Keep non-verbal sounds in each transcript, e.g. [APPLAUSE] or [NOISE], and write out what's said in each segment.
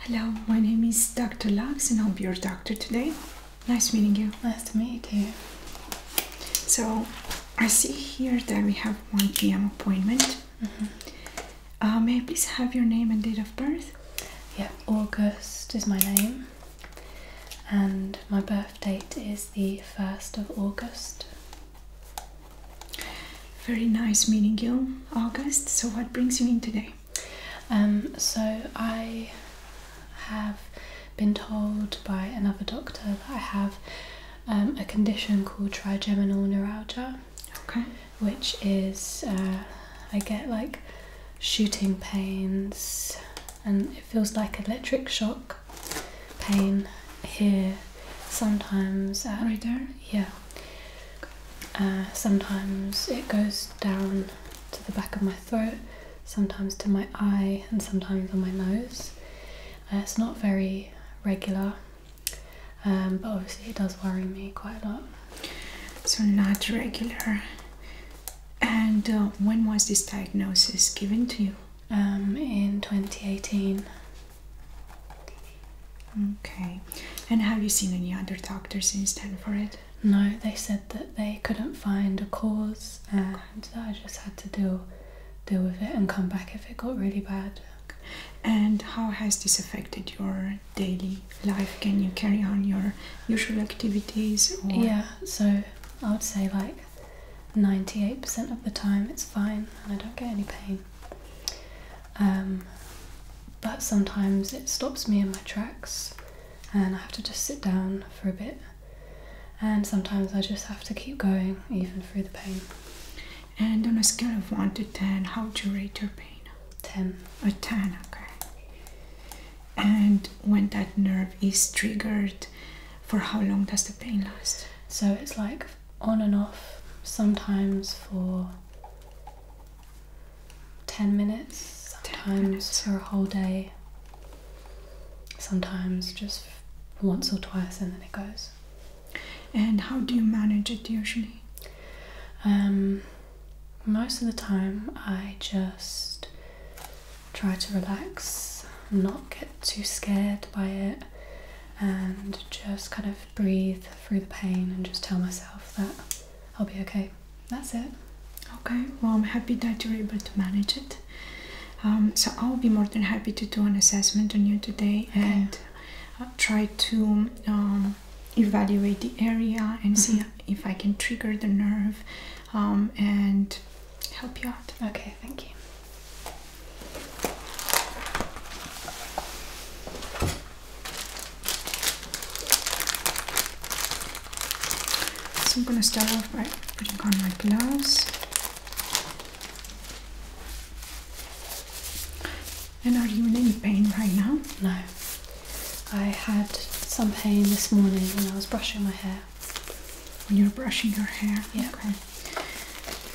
Hello, my name is Dr. Lux and I'll be your doctor today. Nice meeting you. Nice to meet you. So, I see here that we have 1 p.m. appointment. Mm-hmm. Uh, may I please have your name and date of birth? Yeah, August is my name, and my birth date is the 1st of August. Very nice meeting you, August. So, what brings you in today? Um, so, I have been told by another doctor that I have um, a condition called trigeminal neuralgia. Which is, uh, I get like shooting pains and it feels like electric shock pain here sometimes. At, right there? Yeah. Uh, sometimes it goes down to the back of my throat, sometimes to my eye, and sometimes on my nose. Uh, it's not very regular, um, but obviously it does worry me quite a lot. So, not regular. And uh, when was this diagnosis given to you? Um, in 2018. Okay. And have you seen any other doctors instead for it? No, they said that they couldn't find a cause and that I just had to deal deal with it and come back if it got really bad. And how has this affected your daily life? Can you carry on your usual activities? Yeah, so I would say like 98% of the time it's fine and I don't get any pain. Um, but sometimes it stops me in my tracks and I have to just sit down for a bit. And sometimes I just have to keep going even through the pain. And on a scale of 1 to 10, how would you rate your pain? 10. A 10, okay. And when that nerve is triggered, for how long does the pain last? So it's like on and off, sometimes for 10 minutes, sometimes for a whole day, sometimes just once or twice, and then it goes. And how do you manage it usually? Um, most of the time, I just try to relax, not get too scared by it, and just kind of breathe through the pain and just tell myself that I'll be okay. That's it. Okay, well, I'm happy that you're able to manage it. Um, so, I'll be more than happy to do an assessment on you today and uh, try to um, evaluate the area and see mm-hmm. if I can trigger the nerve um, and help you out. Okay, thank you. So I'm going to start off by putting on my gloves. And are you in any pain right now? No. I had some pain this morning when I was brushing my hair. When you were brushing your hair? Yeah.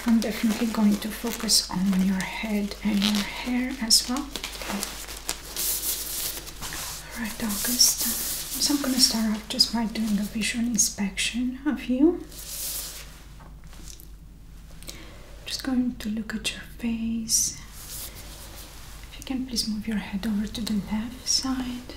I'm definitely going to focus on your head and your hair as well. Okay. Alright, August. So I'm going to start off just by doing a visual inspection of you. Just going to look at your face. If you can please move your head over to the left side.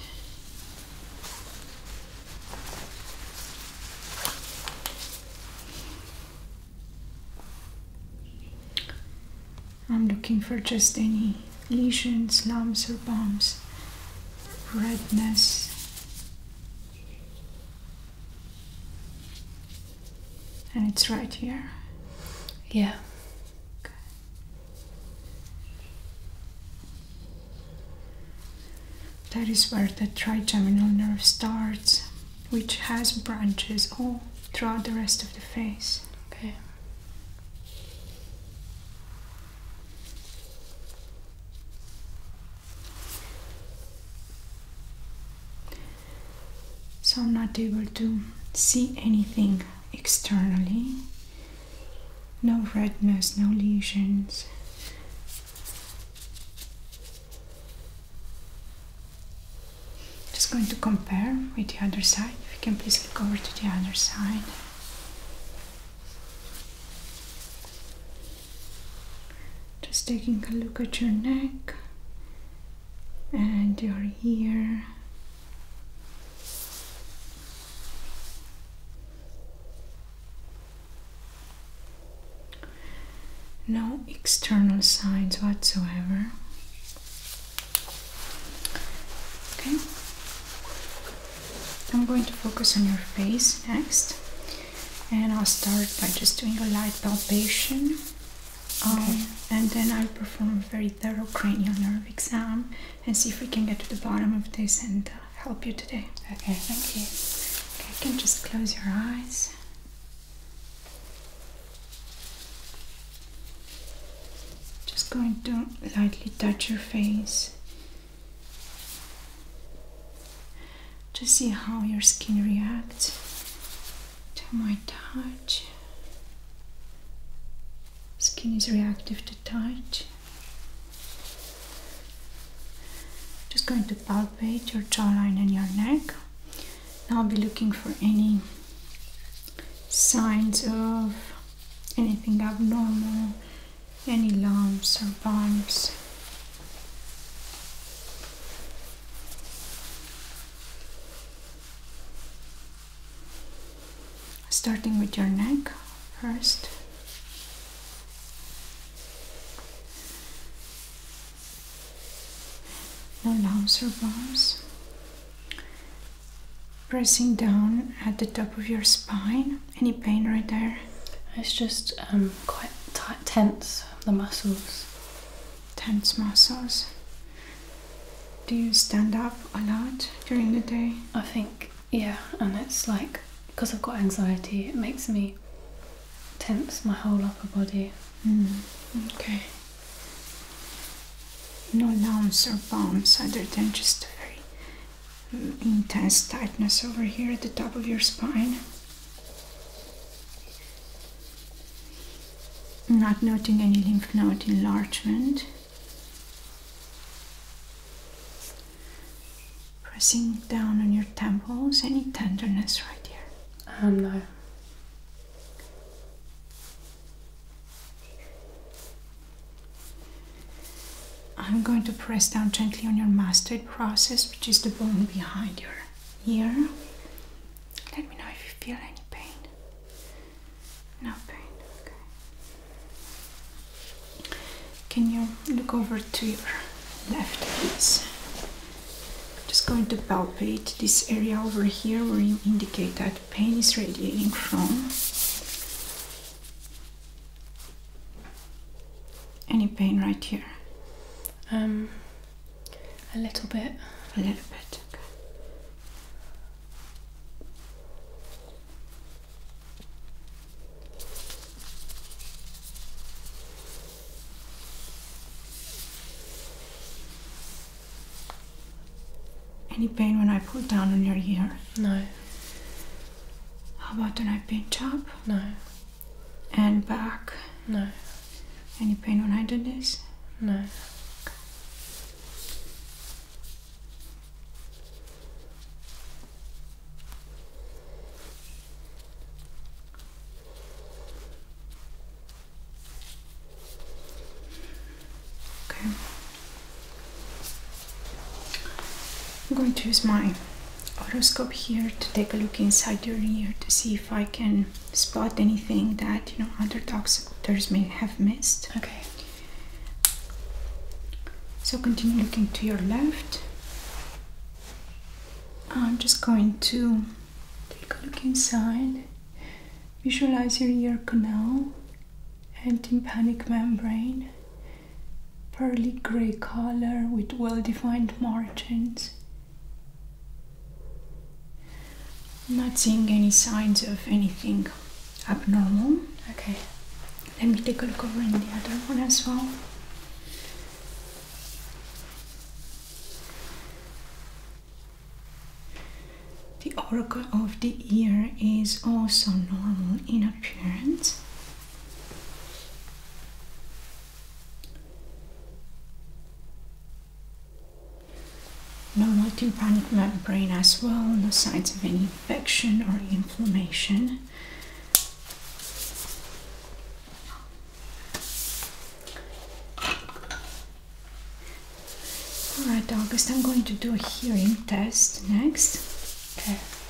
I'm looking for just any lesions, lumps, or bumps, redness. And it's right here. Yeah. That is where the trigeminal nerve starts which has branches all throughout the rest of the face. Okay. So I'm not able to see anything externally. No redness, no lesions. Just going to compare with the other side. If you can please look over to the other side. Just taking a look at your neck and your ear. No external signs whatsoever. Okay, I'm going to focus on your face next, and I'll start by just doing a light palpation. Um, okay. And then I'll perform a very thorough cranial nerve exam and see if we can get to the bottom of this and uh, help you today. Okay, thank you. Okay, can just close your eyes. Just going to lightly touch your face to see how your skin reacts to my touch. Skin is reactive to touch. Just going to palpate your jawline and your neck. I'll be looking for any signs of anything abnormal, any lumps or bumps. Starting with your neck first no knobs or bumps. Pressing down at the top of your spine. Any pain right there? It's just um, quite tense, the muscles. Tense muscles. Do you stand up a lot during the day? I think, yeah, and it's like because I've got anxiety, it makes me tense my whole upper body. Mm, okay. No lumps or bumps other than just very intense tightness over here at the top of your spine. Not noting any lymph node enlargement. Pressing down on your temples, any tenderness right here. Um, no. I'm going to press down gently on your mastoid process, which is the bone behind your ear. Let me know if you feel any pain. No pain, okay. Can you look over to your left, please? just going to palpate this area over here where you indicate that pain is radiating from. Any pain right here? Um, a little bit. A little bit. Okay. Any pain when I pull down on your ear? No. How about when I pinch up? No. And back? No. Any pain when I do this? No. Okay. I'm going to use my otoscope here to take a look inside your ear to see if I can spot anything that you know other doctors may have missed. Okay. So continue looking to your left. I'm just going to Take a look inside. Visualize your ear canal and tympanic membrane. Pearly gray color with well defined margins. not seeing any signs of anything abnormal. Okay, let me take a look over in the other one as well. The auricle of the ear is also normal in appearance. No tympanic membrane as well, no signs of any infection or inflammation. Alright, August, I'm going to do a hearing test next.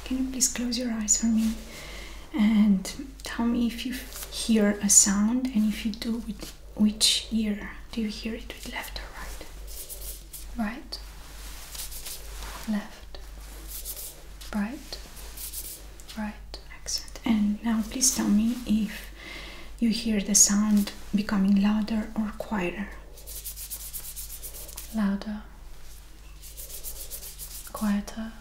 Can you please close your eyes for me and tell me if you hear a sound and if you do, with which ear do you hear it? With left or right? Right? Left. Right? Right. Excellent. And now please tell me if you hear the sound becoming louder or quieter. Louder. Quieter.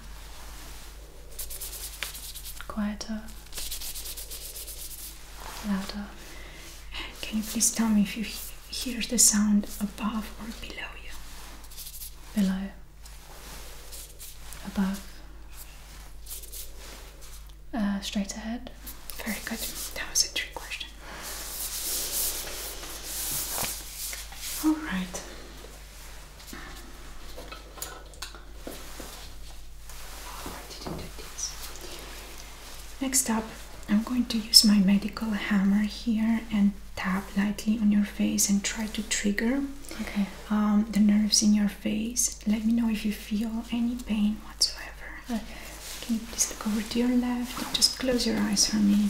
Quieter. Louder. can you please tell me if you hear the sound above or below you? Below above, uh, straight ahead. Very good. That was a trick question. All right. Next up, I'm going to use my medical hammer here and tap lightly on your face and try to trigger okay. Um, the nerves in your face. Let me know if you feel any pain whatsoever. can you please look over to your left? Just close your eyes for me.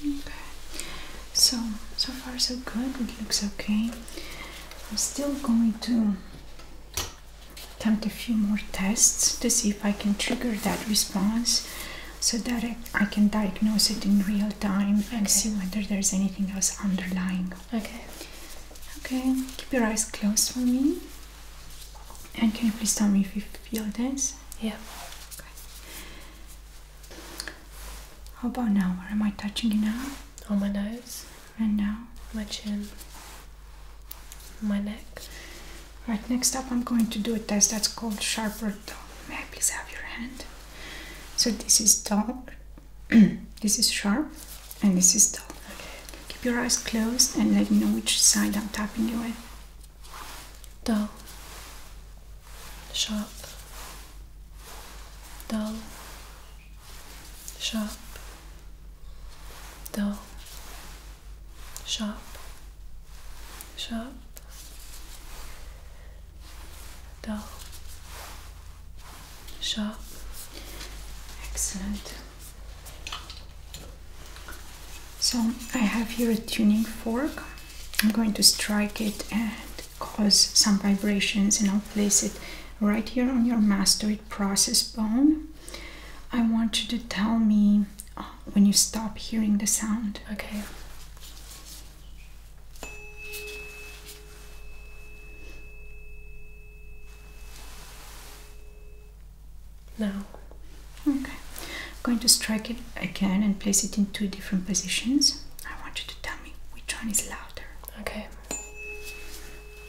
Okay, so so far so good. It looks okay. I'm still going to attempt a few more tests to see if I can trigger that response so that I, can diagnose it in real time and see whether there's anything else underlying. Okay. Okay, keep your eyes closed for me. And can you please tell me if you feel this? Yeah. How about now? Where am I touching you now? On my nose. And now? My chin. My neck. Right, next up I'm going to do a test that's called sharper tongue. May I please have your hand? So this is dull, [CLEARS THROAT] this is sharp, and this is dull. Okay. Keep your eyes closed and let me know which side I'm tapping you with dull, sharp, dull, sharp, dull, sharp, sharp, dull, sharp. Excellent. So I have here a tuning fork. I'm going to strike it and cause some vibrations and I'll place it right here on your mastoid process bone. I want you to tell me uh, when you stop hearing the sound. Okay now. Okay, I'm going to strike it again and place it in two different positions. I want you to tell me which one is louder. Okay.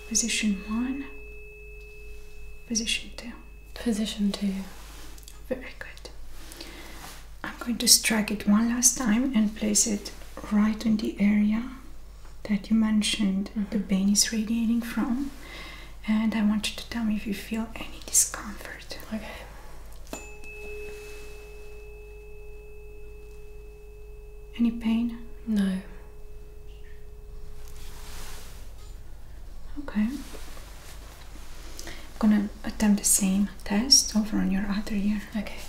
Position one, position two. Position two. Very good. I'm going to strike it one last time and place it right in the area that you mentioned mm-hmm. the pain is radiating from. And I want you to tell me if you feel any discomfort. Okay. Any pain? No. Okay. I'm gonna attempt the same test over on your other ear. Okay.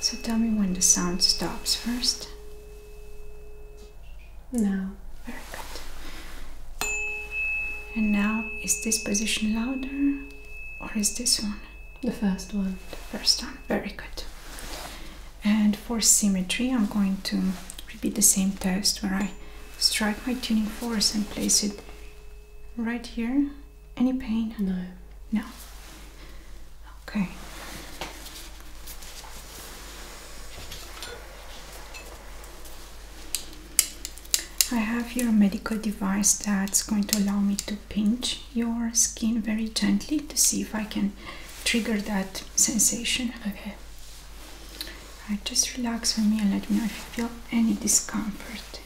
So tell me when the sound stops first. No, very good. And now, is this position louder or is this one? The first one. The first one, very good. And for symmetry, I'm going to repeat the same test where I strike my tuning force and place it right here. Any pain? No. No. Okay. I have your medical device that's going to allow me to pinch your skin very gently to see if I can trigger that sensation. Okay. just relax for me and let me know if you feel any discomfort.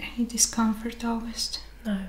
Any discomfort, August? No.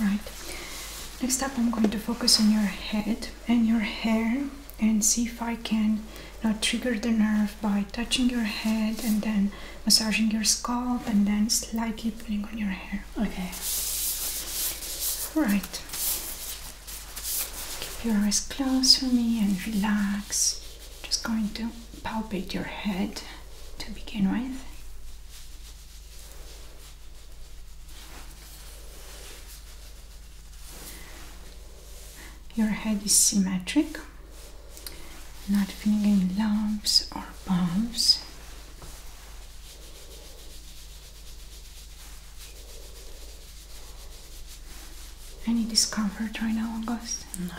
Right. Next up, I'm going to focus on your head and your hair and see if I can now uh, trigger the nerve by touching your head and then massaging your scalp and then slightly pulling on your hair. Okay. Right. Keep your eyes closed for me and relax. Just going to palpate your head to begin with. Your head is symmetric, not feeling lumps or bumps. Any discomfort right now, August? No.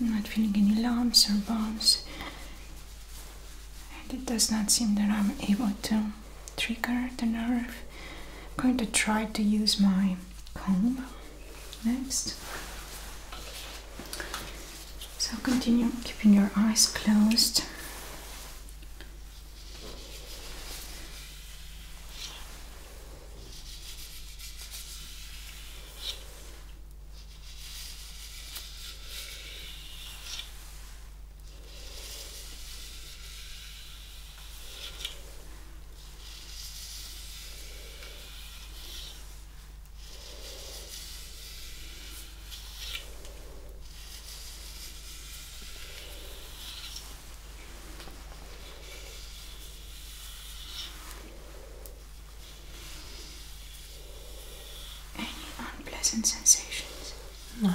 I'm not feeling any lumps or bumps, and it does not seem that I'm able to trigger the nerve. I'm going to try to use my comb. Next. So continue keeping your eyes closed. Any unpleasant sensations? No.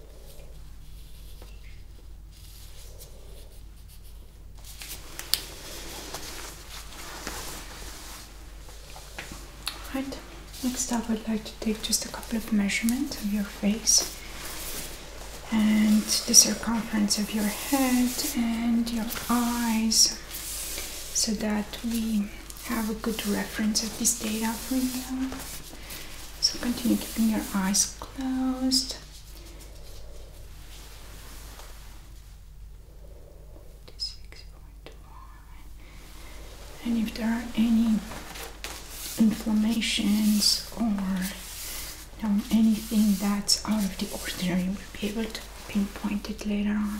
Right, next up I'd like to take just a couple of measurements of your face and the circumference of your head and your eyes so that we have a good reference of this data for you. So continue keeping your eyes closed. And if there are any inflammations or anything that's out of the ordinary, we'll be able to pinpoint it later on.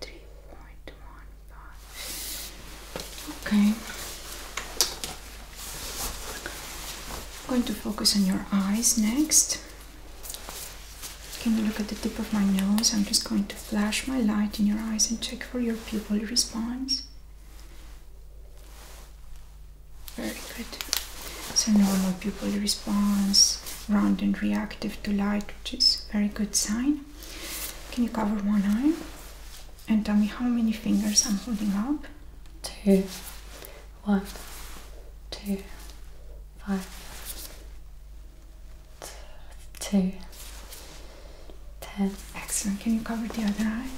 3.15. Okay. I'm going to focus on your eyes next. Can you look at the tip of my nose? I'm just going to flash my light in your eyes and check for your pupil response. Very good. So normal pupil response, round and reactive to light, which is a very good sign. Can you cover one eye? And tell me how many fingers I'm holding up? Two, one, two, five, two, ten. Excellent. Can you cover the other eye?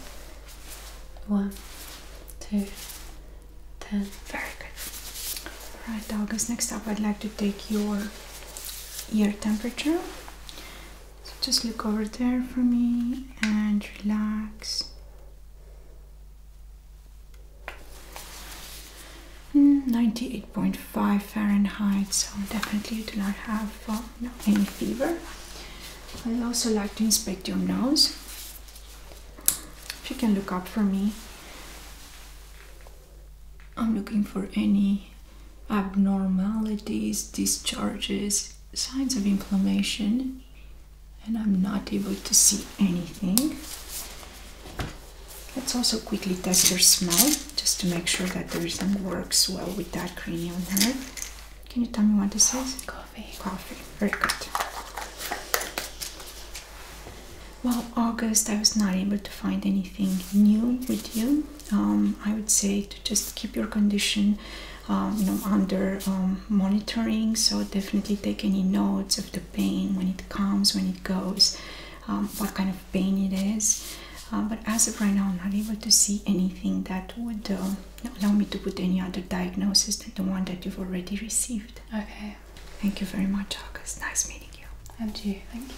One, two, ten. Very good. Alright, Douglas, next up I'd like to take your your temperature. So just look over there for me and relax. Mm, 98.5 Fahrenheit, so definitely you do not have uh, any fever. i also like to inspect your nose. If you can look up for me, I'm looking for any abnormalities, discharges, signs of inflammation, and I'm not able to see anything. Let's also quickly test your smell just to make sure that everything works well with that cream on nerve. Can you tell me what this is? Coffee. Coffee. Very good. Well, August, I was not able to find anything new with you. Um, I would say to just keep your condition um, you know, under um, monitoring. So definitely take any notes of the pain when it comes, when it goes, what kind of pain it is. but as of right now, I'm not able to see anything that would uh, allow me to put any other diagnosis than the one that you've already received. Okay. Thank you very much, August. Nice meeting. Thank you. And you, thank you.